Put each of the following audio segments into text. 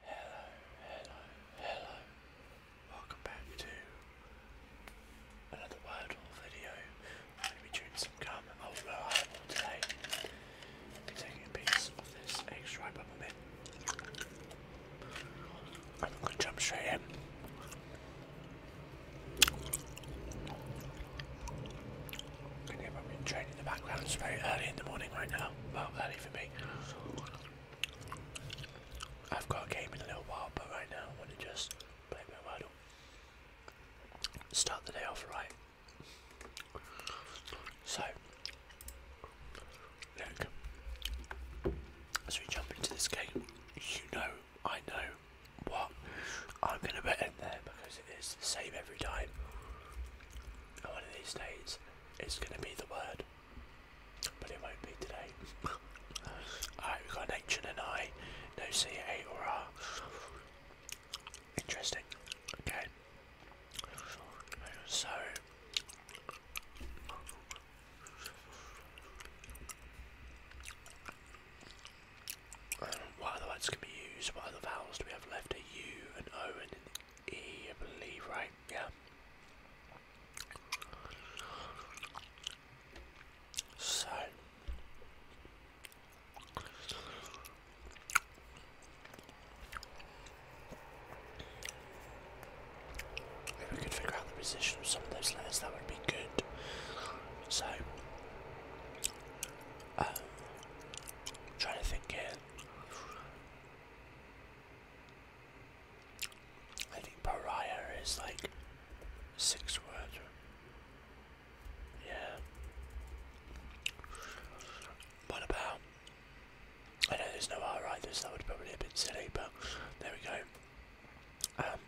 Hello, hello, hello. Welcome back to another Wordle video. I'm going to be chewing some gum, although I taking a piece of this extra peppermint. I'm going to jump straight in. Can you hear my in the background? It's very early in the morning right now. Well, early for me. I've got a game in a little while, but right now I want to just play my Wordle. Start the day off right. So, look, as we jump into this game, you know, I know what I'm going to bet in there because it is the same every time. one of these days, it's going to be the word but it will be today. Alright, we've got an H and an I, no C, A or R. Interesting. Okay. So. what other words can be used? What other vowels do we have left? A U, an O, and E, I believe, right? Yeah. So. If we could figure out the position of some of those letters, that would be good. So, um, trying to think here. I think pariah is like six words. Yeah. What about? I know there's no R either, so that would probably be a bit silly, but there we go. Um,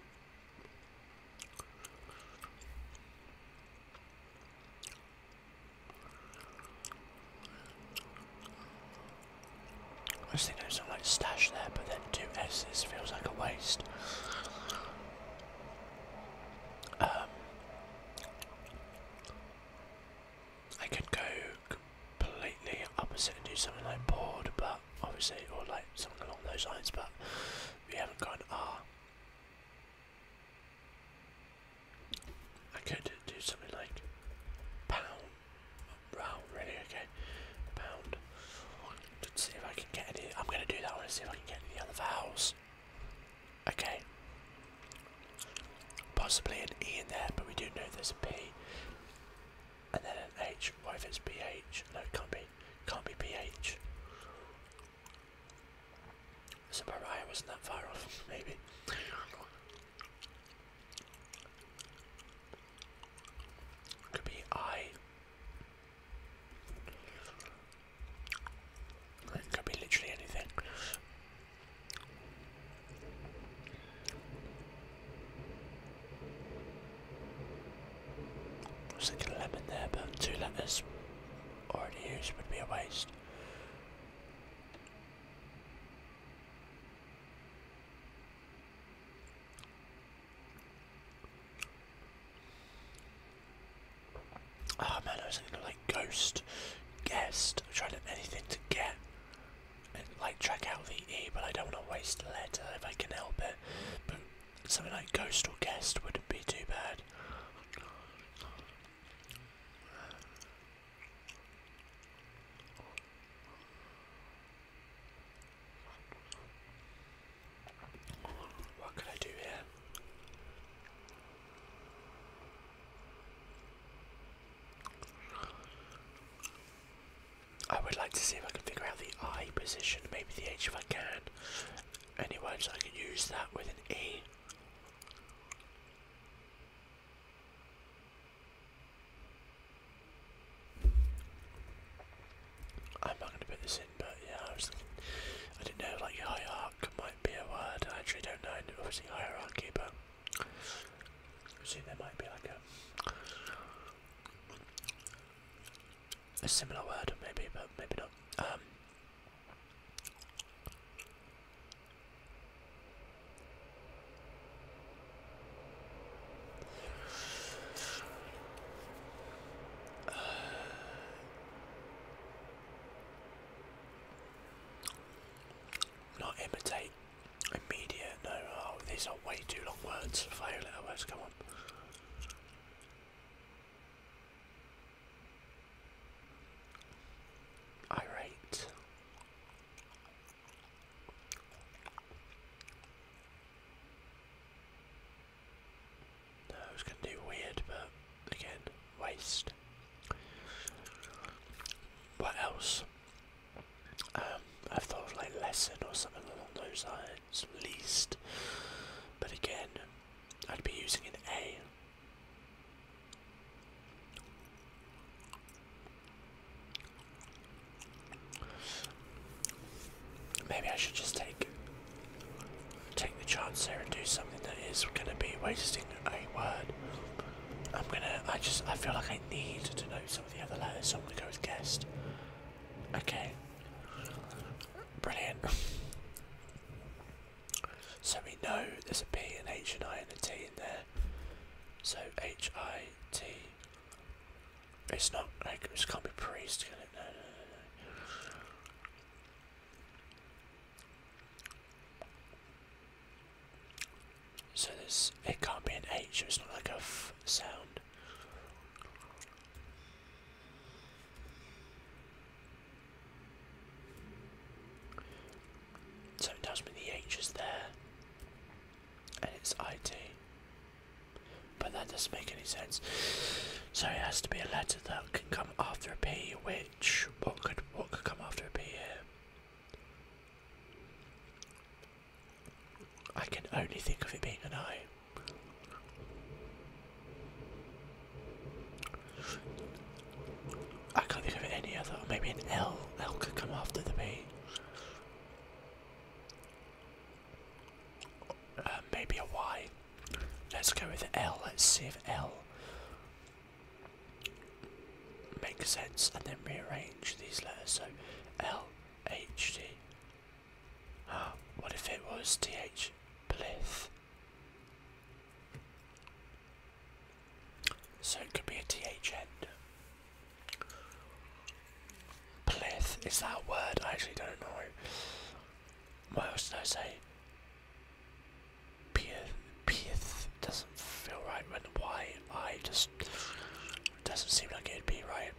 I was thinking something like stash there, but then two S's feels like a waste. Um, I could go completely opposite and do something like board, but obviously, or like something along those lines, but we haven't got an R. I could do something like pound. Wow, really? Okay. Pound. Let's see if I can get any. I'm going to do that one and see if I can get any other vowels. Okay. Possibly an E in there, but we do know there's a P. And then an H. What if it's ph? No, it can't be. Can't be PH. That's about right, wasn't that far off, maybe. Could be I. It could be literally anything. was thinking lemon there, but two letters already used would be a waste. Oh man, I was thinking like ghost, guest, I'm trying to anything to get like track out the E, but I don't want to waste a letter if I can help it. But something like ghost or guest wouldn't be too bad. What can I do here? I would like to see if I can figure out the I position, maybe the H if I can. Any words I can use that with an E. I'm not going to put this in, but yeah, I was I didn't know, like, hierarchy might be a word, I actually don't know, obviously hierarchy, but I see there might be like a, a similar word, maybe, but maybe not, um, not imitate, immediate, no, oh, these are way too long words, five letter words, come on. Irate, no, I was going to do weird, but again, waste. What else? Um, I've thought like lesson or something along those lines, least. But again, I'd be using an A. Maybe I should just take take the chance there and do something that is gonna be wasting a word. I'm gonna I just I feel like I need to know some of the other letters, so I'm gonna go with guest. Okay. Brilliant. so we know there's a P, an H, an I, and a T in there. So H I T. It's not like it can't be priest, can No, no, no, So there's it can't be an H. It's not like a F sound. So it tells me the H is there and it's IT. But that doesn't make any sense. So it has to be a letter that can come after a P, which what could what could come after a P here? I can only think of it being an I. I can't think of any other. Maybe an L. L could come after the B. Uh, maybe a Y. Let's go with L. Let's see if L makes sense and then rearrange these letters. So L, H, D. Uh, ah, what if it was T, H, so it could be a TH end. Plith, is that a word? I actually don't know. What else did I say? Pith, doesn't feel right why I just doesn't seem like it'd be right.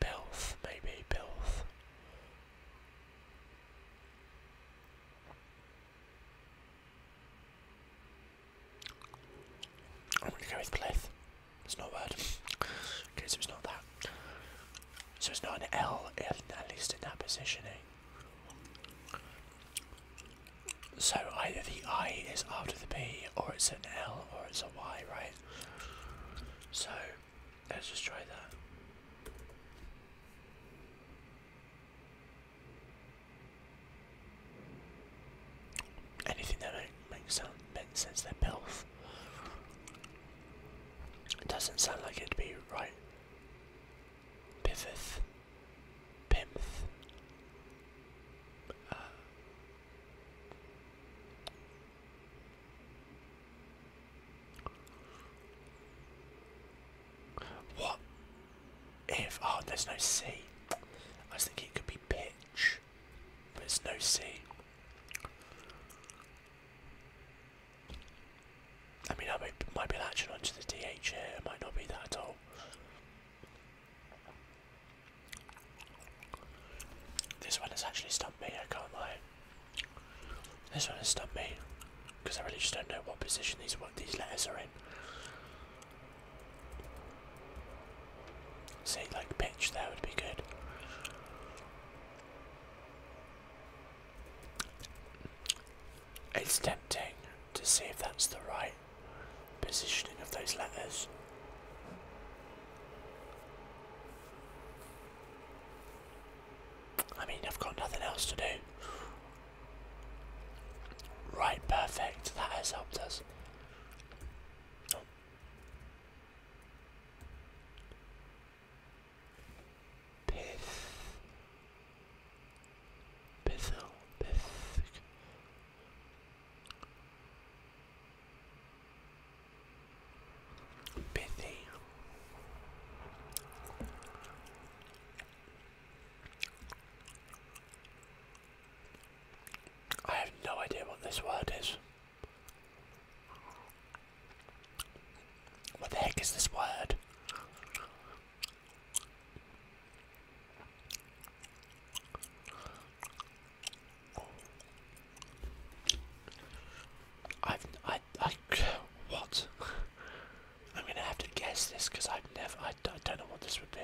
Bilth, maybe, Bilth. I'm gonna go with Plith. It's not a word. Okay, so it's not that. So it's not an L, at least in that positioning. So either the I is after the P, or it's an L, or it's a Y, right? So Let's just try that. Anything that makes sense their health. doesn't sound like it'd be right. Pitheth. Pimth. Uh, what if oh there's no C? I was thinking it could be pitch, but it's no C. I mean, I might, might be latching onto the DH here. It might not be that at all. This one has actually stumped me. I can't lie. This one has stumped me because I really just don't know what position these these letters are in. Say like pitch, that would be good. It's tempting to see if that's the right positioning of those letters. I mean, I've got nothing else to do. Right, perfect. That has helped us. Pith. Pithil. Pith pithy. I have no idea what this word is. What the heck is this word? I've I I what? I'm gonna have to guess this because I've never I, I don't know what this would be.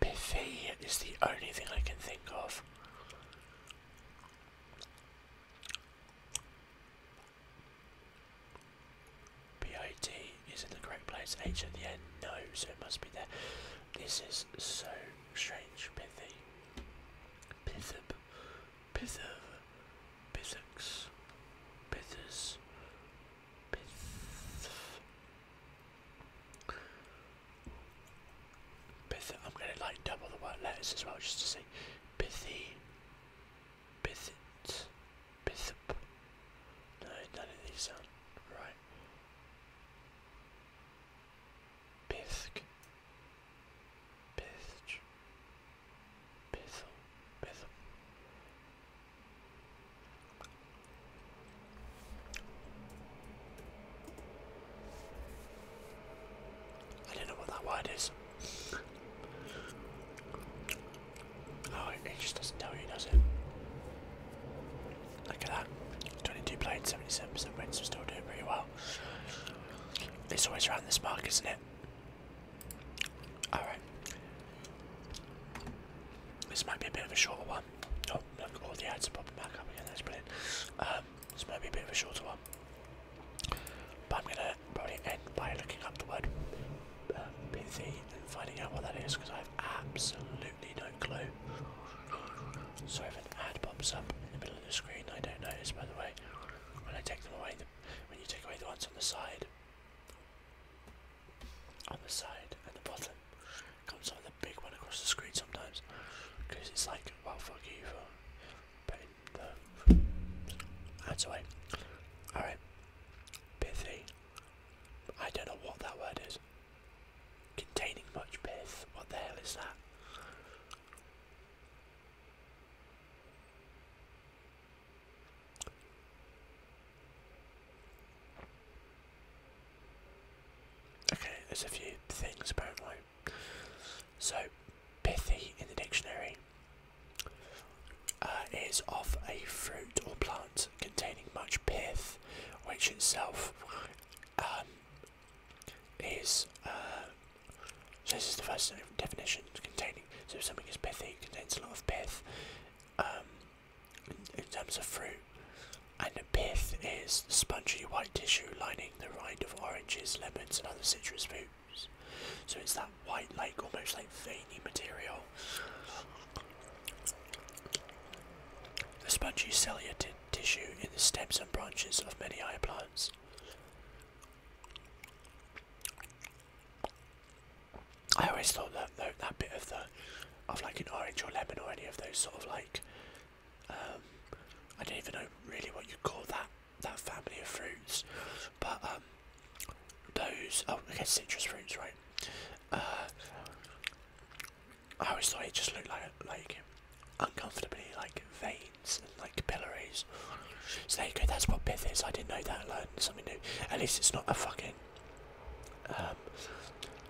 Pithy is the only thing I can think of. BIT is in the correct place. H at the end, no, so it must be there. This is so strange, pithy. Pithub. Pither, Pithx, Pithers, Pith. Pith. I'm going to like double the word letters as well just to see. Pithy, Pithit, Pithp. No, none of these sound right. Pithk, Pitch. Pizzle. Pizzle. I don't know what that word is. Oh, it just doesn't tell you, does it? Look at that. 22 played, 77% wins, we're still doing pretty well. It's always around this park, isn't it? Alright. This might be a bit of a shorter one. Oh, look, all the ads are popping back up again, that's brilliant. Um, this might be a bit of a shorter one. But I'm gonna probably end by looking up the word uh, pithy and finding out what that is because I have absolutely no clue. So if an ad pops up in the middle of the screen, I don't notice by the way when I take them away, when you take away the ones on the side, on the side and the bottom, comes on the big one across the screen sometimes, because it's like, well, fuck you for putting the ads away. Alright, pithy. I don't know what that word is. Containing much pith. What the hell is that? Okay, there's a few things apparently. So, pithy in the dictionary uh, is of a fruit or plant containing much pith, which itself um, is uh, so this is the first definition containing. So something is pithy, contains a lot of pith. Um, in, terms of fruit, and a pith is the spongy white tissue lining the rind of oranges, lemons, and other citrus fruits. So it's that white, like almost like veiny material. The spongy cellular tissue in the stems and branches of many higher plants. I always thought that that bit of the of like an orange or lemon or any of those sort of like um, I don't even know really what you call that that family of fruits, but um, those oh I guess citrus fruits right. Uh, I always thought it just looked like like uncomfortably like vain like capillaries, So there you go, that's what pith is. I didn't know that, I something new. At least it's not a fucking um,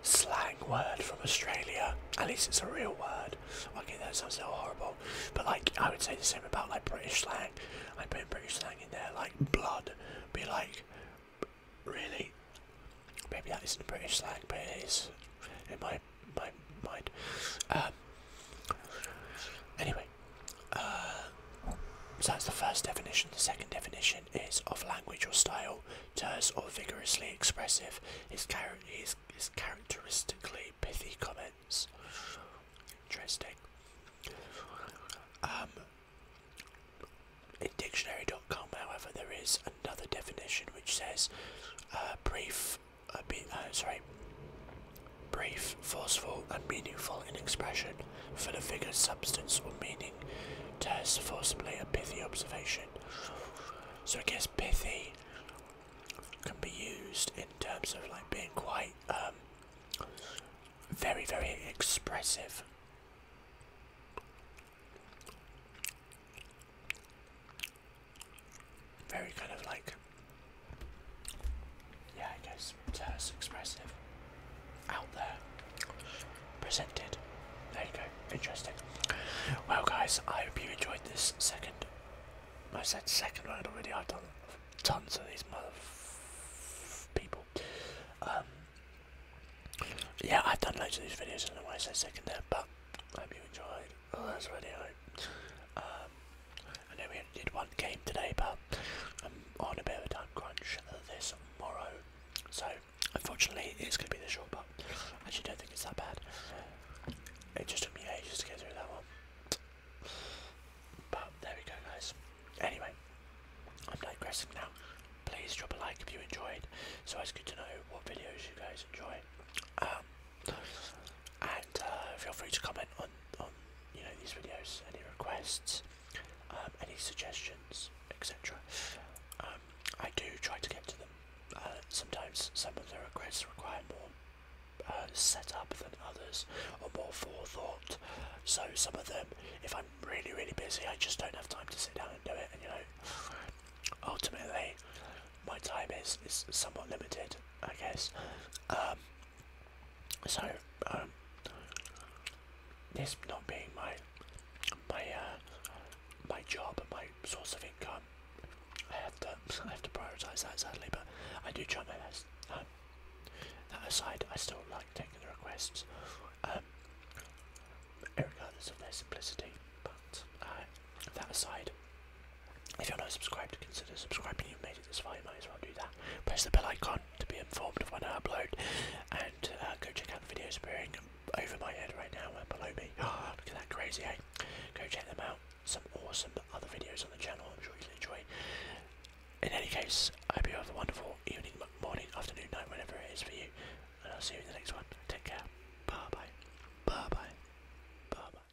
slang word from Australia. At least it's a real word. Okay, that sounds so horrible. But like, I would say the same about like British slang. I putting British slang in there, like blood. Be like, really? Maybe that isn't British slang, but it is in my my mind. Um, anyway, uh, so that's the first definition. The second definition is of language or style, terse or vigorously expressive. Is char is characteristically pithy comments. Interesting. Um, in dictionary.com, however, there is another definition which says uh, brief, a be uh, sorry, brief, forceful, and meaningful in expression, for the figure's substance or meaning tests forcibly a pithy observation. So I guess pithy can be used in terms of like being quite um, very, very expressive. Very kind of like, yeah, I guess, terse, expressive, out there, presented. There you go, interesting. Well, guys, I hope you enjoyed this second. I said second one already, I've done tons of these mother people. Um, yeah, I've done loads of these videos, I don't know second there, but I hope you enjoyed. Oh, that's already out. Um, I know we only did one game today, but I'm on a bit of a time crunch this morrow, so unfortunately it's going to be the short, but I actually don't think it's that bad. It just took me ages to get through that one. But there we go, guys. Anyway, I'm digressing now. Please drop a like if you enjoyed. So it's good to know what videos you guys enjoy. Um, and uh, feel free to comment on on you know these videos, any requests, um, any suggestions, etc. Um, I do try to get to them. Uh, sometimes some of the requests require more uh, setup than others, or more forethought. So some of them, if I'm really really busy, I just don't have time to sit down and do it. And you know, ultimately, my time is is somewhat limited, I guess. Um, so um, this not being my my uh, my job, my source of income, I have to I have to prioritize that sadly, but I do try my best. Um, that aside, I still like taking the requests, um, regardless of their simplicity. But uh, that aside, if you're not subscribed, consider subscribing. You've made it this far, you might as well do that. Press the bell icon to be informed of when I upload, and uh, go check out the videos appearing over my head right now and uh, below me. Oh, look at that crazy, eh? Go check them out. Some awesome other videos on the channel. I'm sure you'll enjoy. In any case, I hope you have a wonderful evening, morning, afternoon, night, whenever it is for you. And I'll see you in the next one. Take care. Bye bye. Bye bye. Bye bye.